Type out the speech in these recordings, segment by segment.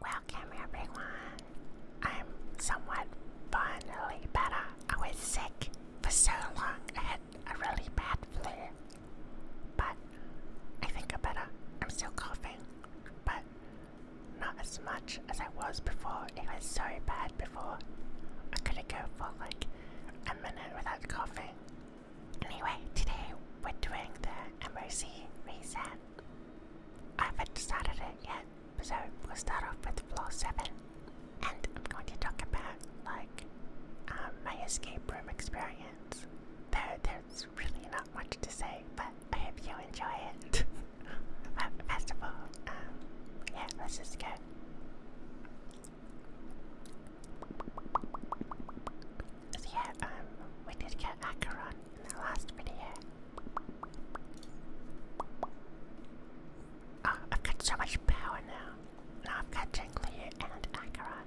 Welcome everyone. I'm somewhat finally better. I was sick for so long. I had a really bad flu. But I think I'm better. I'm still coughing. But not as much as I was before. It was so bad before. I couldn't go for like a minute without coughing. Anyway, today we're doing the MOC reset. I haven't started it yet, so we'll start off with floor 7. And I'm going to talk about like um, my escape room experience. Though there's really not much to say, but I hope you enjoy it. first of all, um, yeah, let's just go yeah, um, we did get Acheron in the last video. Oh, I've got so much power now. Now I've got Jingle and Acheron.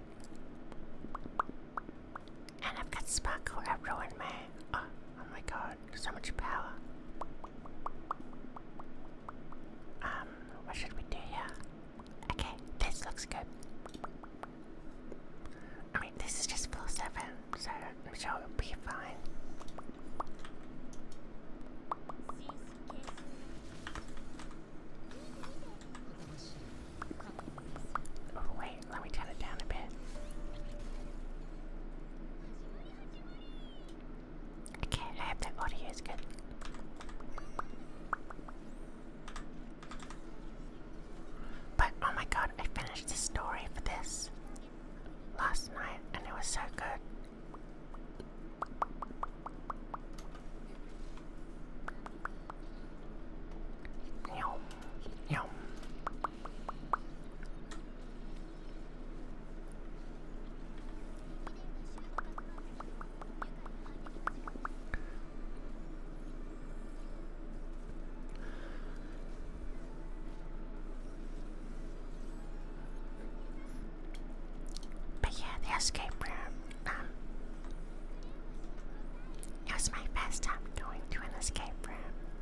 And I've got Sparkle at Ruin me. oh my god so much power. Um, what should we do here? Okay, this looks good. I mean, this is just 7, so it'll be fine. Oh, wait, let me turn it down a bit. Okay, I hope that audio is good. But oh my god, I finished the story for this last night and it was so good. Yum, yum. But yeah, the escape room. Um, it was my first time going to an escape room,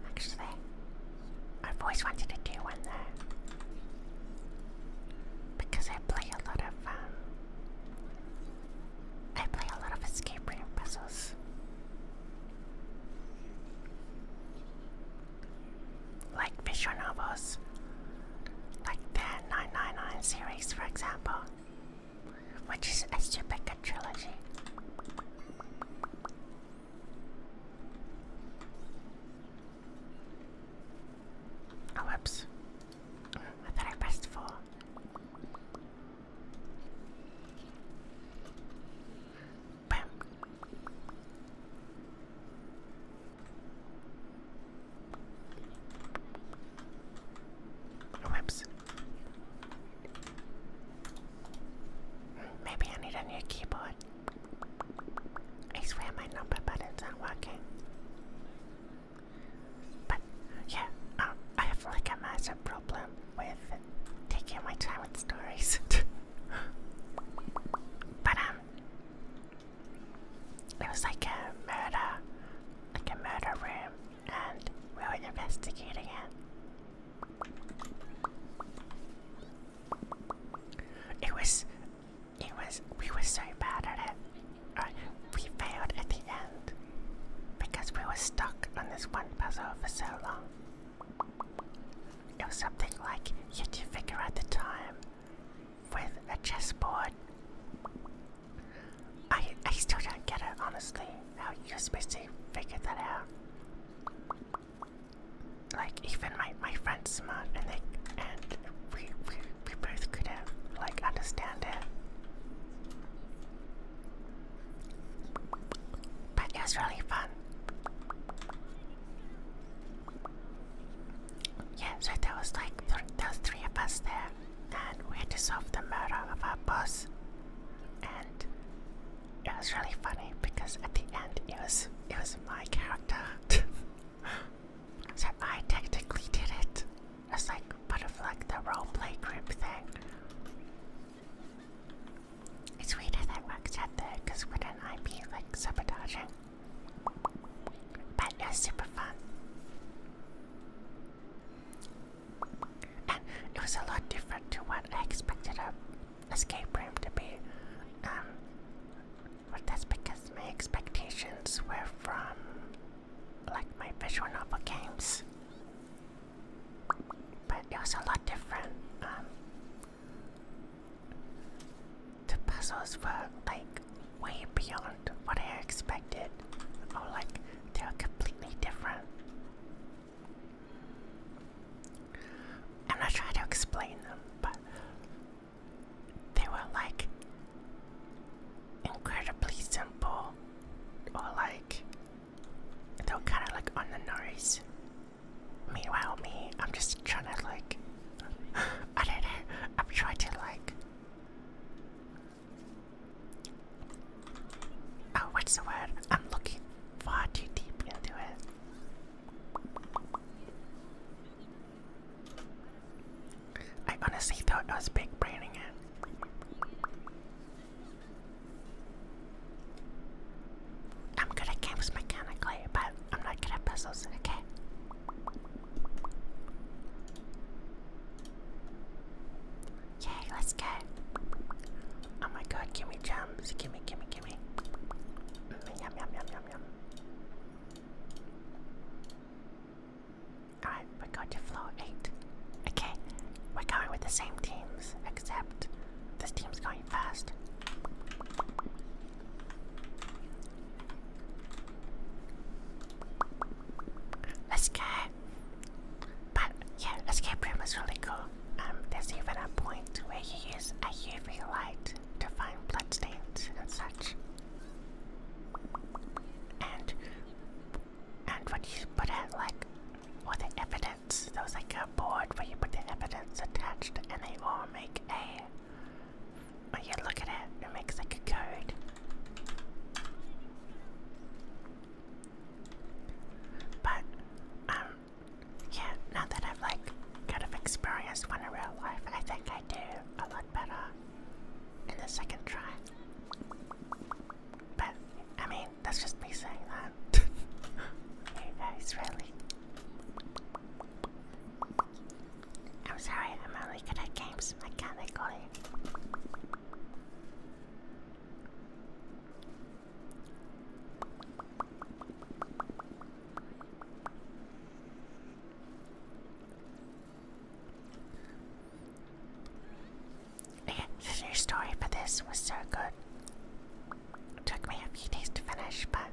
actually. I've always wanted to do one though because I play a lot of um, I play a lot of escape room puzzles. Like visual novels, like the 999 series, for example, which is a stupid good trilogy. Oh, Oops! I thought I pressed four. Bam. Oh, whoops. Maybe I need a new keyboard. I swear my number button's not working. But yeah, um, I have like a massive problem with taking my time with stories. but um, it was like a murder, like a murder room, and we were investigating it. It was it was we were so bad at it. we failed at the end because we were stuck on this one puzzle for so long. It was something like you do figure out the time with a chessboard. I I still don't get it honestly. How you're supposed to figure that out? like even my my friend's smart and they and we we we both could have like understand it. But it was really fun. Yeah, so there was like th there was three of us there, and we had to solve the murder of our boss. And it was really funny because at the end it was it was my character. Said I technically did it. It's like part of like the roleplay group thing. It's weird how that works out there, because wouldn't I be like sabotaging? But it's super fun. And it was a lot different to what I expected a escape room to be. Um, but that's because my expectations were from like my visual novel games. But it was a lot different. Um, the puzzles were like way beyond what I expected. Or like they were completely different. I'm not trying to explain them, but they were like incredibly simple or like they were kind of like on the nose. Meanwhile, me, I'm just trying to like, I don't know, I'm trying to like, oh, what's the word? I'm looking far too deep into it. I honestly thought I was big braining it. I'm good at games mechanically, but I'm not good at puzzles, okay? Yay, let's go. Oh my god, gimme gems, gimme, gimme, gimme. yum, yum, yum, yum, yum. Alright, we go to flow 8. Okay, we're going with the same teams, except this team's going fast. Let's go! But yeah, escape room is really cool. Um, there's even a point where you use a UV light to find blood stains and such. And and what you put it like all the evidence. There like a board where you put the evidence attached and they all make a when you look at it, it makes like a code. But um yeah, now that I've like kind of experienced one in real life, I think I do a better in the second try. But, I mean, that's just me saying that. you guys, really. I'm sorry, I'm only good at games mechanically. Yeah, your story for this was so good. took me a few days to finish, but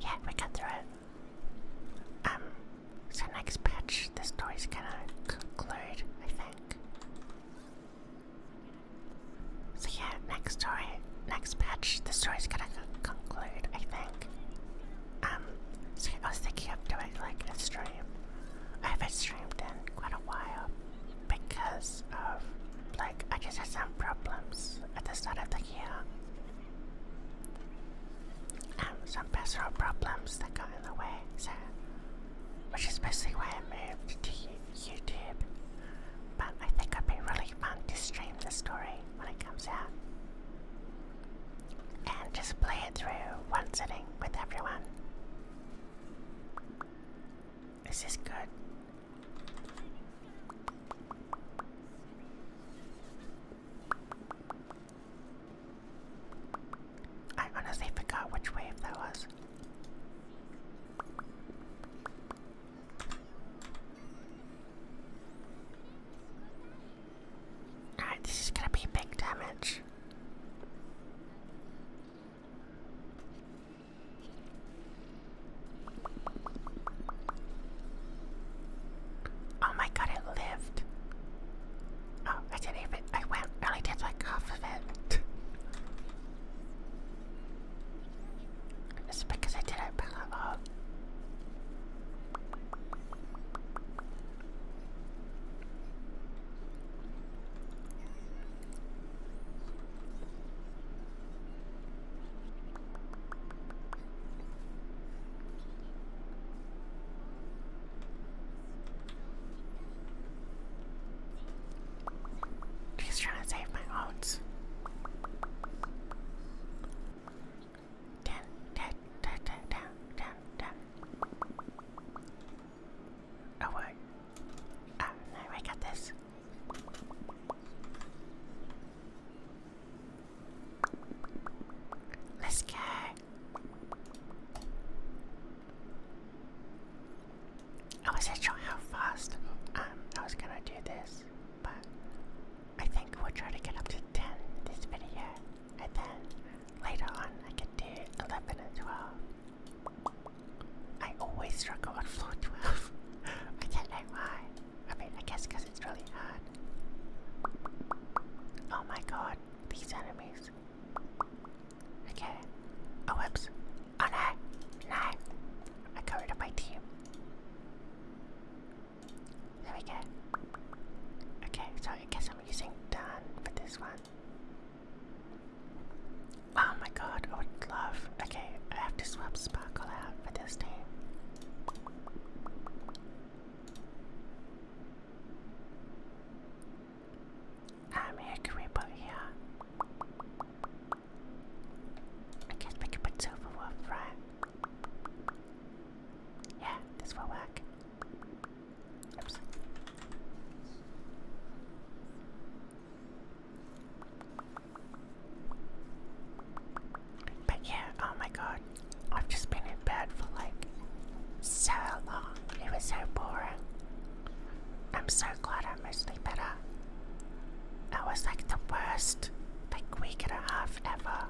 yeah, we got through it. Um, so next patch, the story's gonna conclude, I think. So yeah, next story, next patch, the story's gonna conclude, I think. Um, so I was thinking of doing like a stream. I haven't streamed in quite a while because of like I just had some problems at the start of the year. Um, some personal problems that got in the way, so which is basically why I moved to YouTube. But I think it'd be really fun to stream the story when it comes out and just play it through one sitting with everyone. This is good. I honestly forgot which wave that was. Alright, this is gonna be big damage. Oh my god, it lived. Oh, I didn't even. I went. only did like half of it. it's because I didn't. Oh, She's trying to save my oats down, oh, ah, I got this. Let's go. I wasn't sure how fast um, I was gonna do this, but I think we'll try to get up to 10 this video and then later on I can do 11 and 12. I always struggle on floor 12. I don't know why. I mean, I guess because it's really hard. Oh my god, these enemies. Okay. Oh, whoops. Oh no! No! I got rid of my team. There we go. Okay, so I guess I'm using done for this one. Oh my god, I would love. Okay, I have to swap Sparkle out for this team. Um, here can we put here? I guess we could put Silverwolf, right? Yeah, this will work. But yeah, oh my god, I've just been in bed for like so long. It was so boring. I'm so glad I'm mostly better. I was like the worst, like week and a half ever.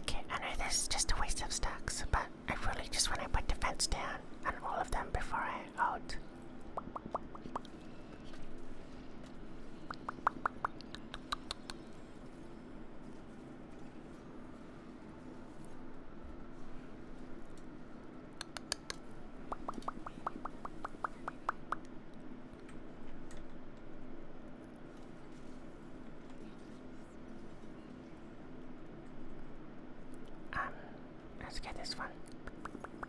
Okay, I know this is just a waste of stacks, but I really just want to put the fence down on all of them before I out. Um, let's get this one.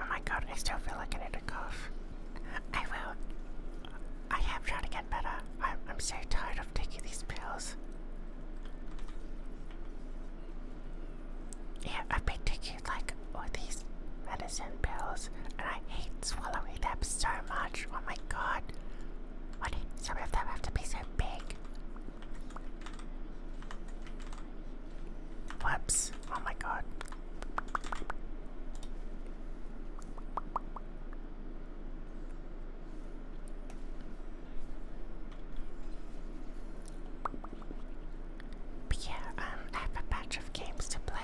Oh my god, I still feel like I need to cough. I will. I am trying to get better. I'm, I'm so tired of taking these pills. Yeah, I've been taking like all these medicine pills and I hate swallowing them so much. Oh my god. Why do some of them have to be so big? Flaps. Oh my god. But yeah, um, I have a batch of games to play.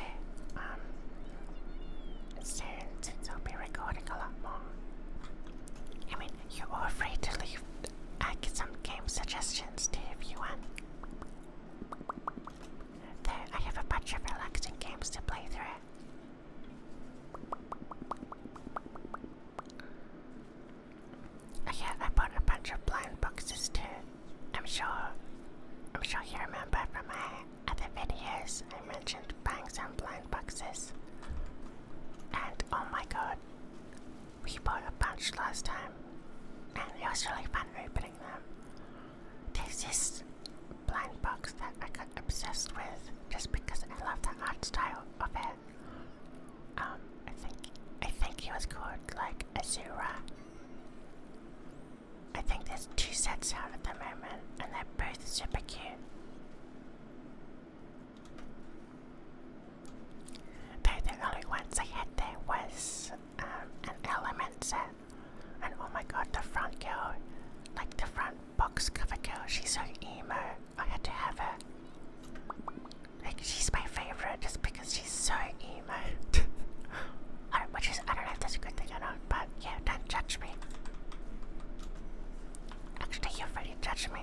Um, soon, I'll be recording a lot more. I mean, you are afraid to leave I get some game suggestions too if you want. There, I have a bunch of relaxing games to play through. Oh, yeah, I bought a bunch of blind boxes too. I'm sure I'm sure you remember from my other videos I mentioned buying some blind boxes. And oh my god, we bought a bunch last time, and it was really fun opening them. There's this blind box that I got obsessed with just because I love the art style of it. Um, I think I think he was called like Azura. I think there's two sets out at the moment, and they're both super cute the only ones I had there was um, an element set. And oh my god, the front girl, like the front box cover girl, she's so emo. I had to have her. Like she's my favorite just because she's so emo. I don't, which is I don't know if that's a good thing or not, but yeah, don't judge me. Actually, you've already judged me.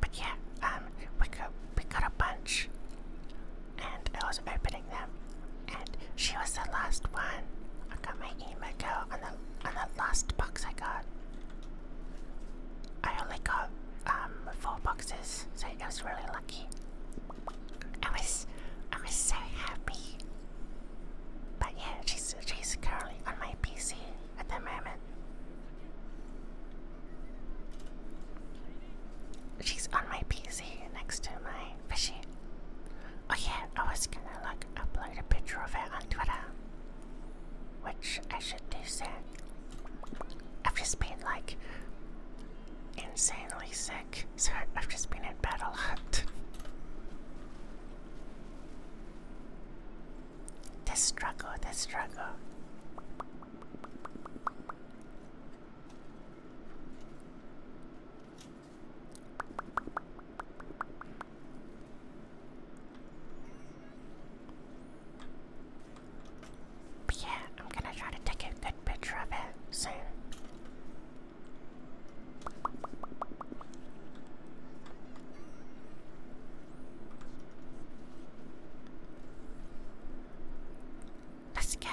But yeah, um, we got we got a bunch, and I was opening them, and she was the last one. I got my email girl on the on the last box I got. I only got um four boxes, so I was really lucky. I was I was so happy. But yeah, she's she's currently on my PC at the moment. She's on my PC next to my fishy. Oh yeah, I was gonna like upload a picture of her on Twitter. Which I should do soon. I've just been like insanely sick, so I've just been in bed a lot. The struggle, the struggle. But yeah, I'm gonna try to take a good picture of it soon. Let's go.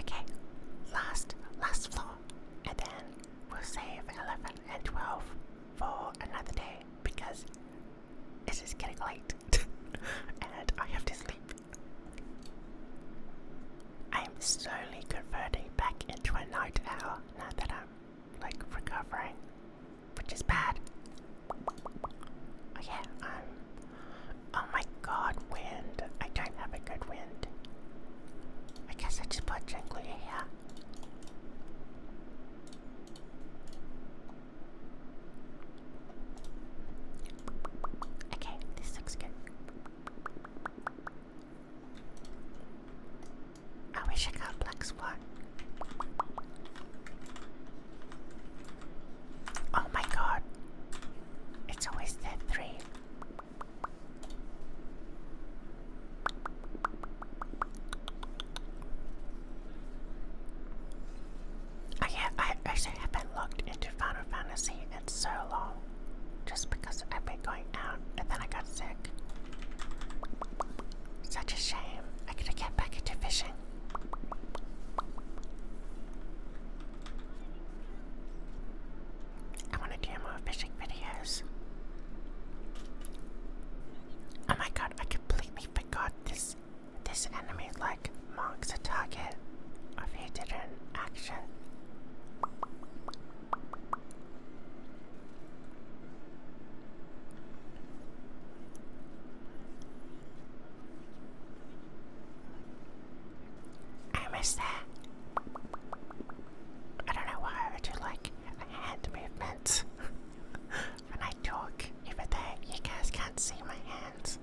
Okay, last, last floor, and then we'll save 11 and 12 for another day because it is getting late and I have to sleep. I'm slowly converting back into a night owl now that I'm like recovering, which is bad. Oh yeah, I'm. Um, oh my god, wind. I don't have a good wind. I guess I just put jingly here. Okay, this looks good. I wish I got black spot. Oh my god. It's always that three. I, ha I actually have been locked into Final Fantasy in so long, just because I've been going out and then I got sick. Such a shame. I could have get back into fishing. I want to do more fishing videos. Oh my god! I completely forgot this. This anime, like marks a target of a hidden action. I missed that. I don't know why I do like hand movements when I talk, even you guys can't see my hands.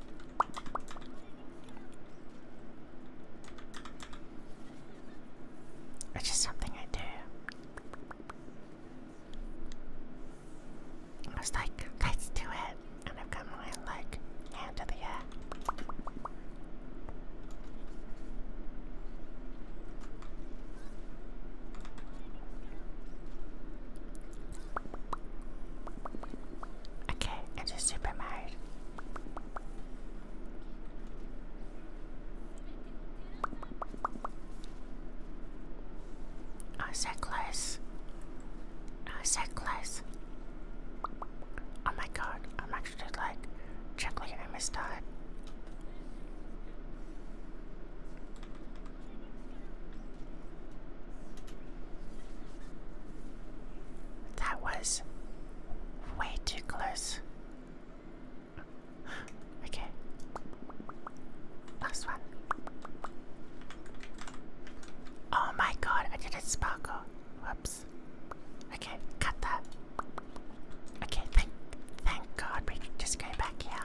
It's just something I do. I was like, let's do it. And I've got my like hand the air. Okay, it's a Super Mario. Oh, uh, is close? Uh, oh, is close? Oh my god, I'm actually like chuckling and I missed out. That was way too close. Okay. Last one. Oh my god, I did a sparkle. Whoops. Okay, cut that. Okay, thank thank god we just came back here.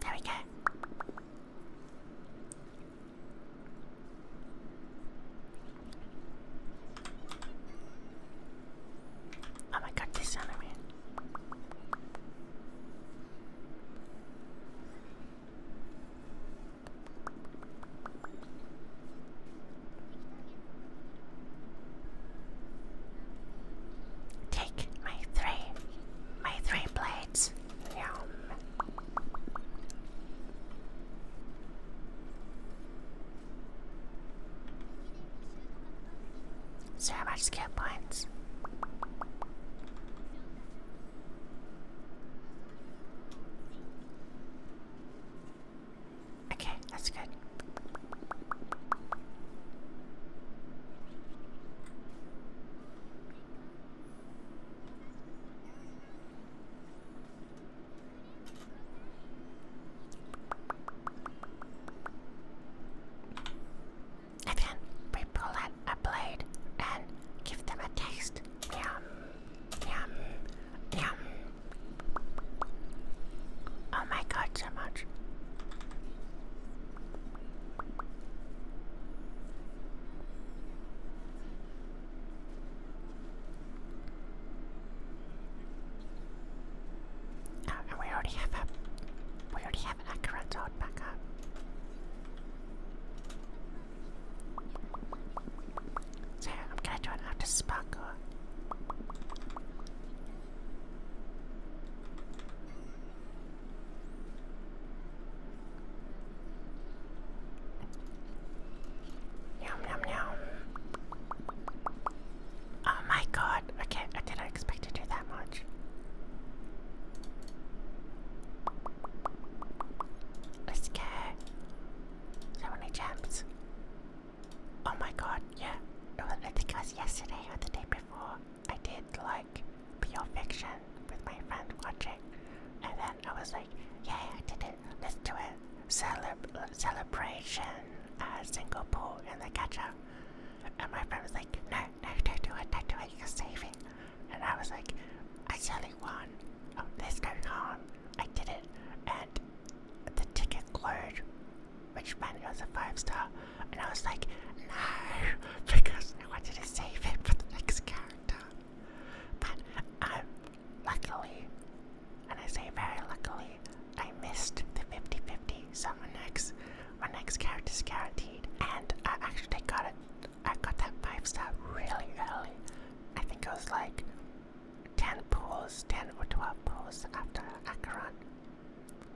There we go. Oh my god, this anime. Take my three, my three play. So Yum. So much skill points. Okay, that's good. And then we pull out a blade and give them a taste. Yum, yum, yum. Oh my god, so much. Oh, and we already have a we already have an Akira Toad back up. So I'm gonna do an sparkle. Yum, yum, yum. Oh my god. Okay, I didn't expect to do that much. Let's go. So many gems. Oh my god, yeah. Oh, I think it was yesterday or the day before. I did like Pure Fiction with my friend watching, and then I was like, "Yay, I did it. Let's do it. celebration, uh, single pool in the ketchup. And my friend was like, no, no, don't do it, don't do it, you're saving. And I was like, I totally won. Oh, this going no I did it. And the ticket glowed, which meant it was a five star. And I was like, no, because I wanted to save it for the next character. But um, luckily, and I say very luckily, I missed the 50 50. So my next, my next character is guaranteed. And I actually got it, I got that 5 star really early. I think it was like 10 pulls, 10 or 12 pulls after Acheron.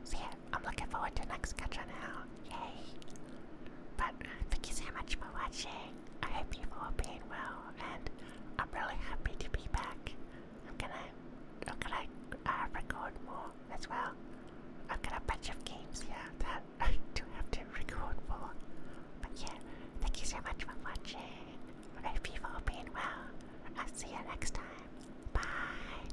So yeah, I'm looking forward to next gacha now. Yay! But uh, thank you so much for watching. I hope you've all been well, and I'm really happy to be back. I'm gonna, I'm gonna I uh, record more as well. I've got a bunch of games here that I do have to record for. But yeah, thank you so much for watching. I hope you've all been well. I'll see you next time. Bye.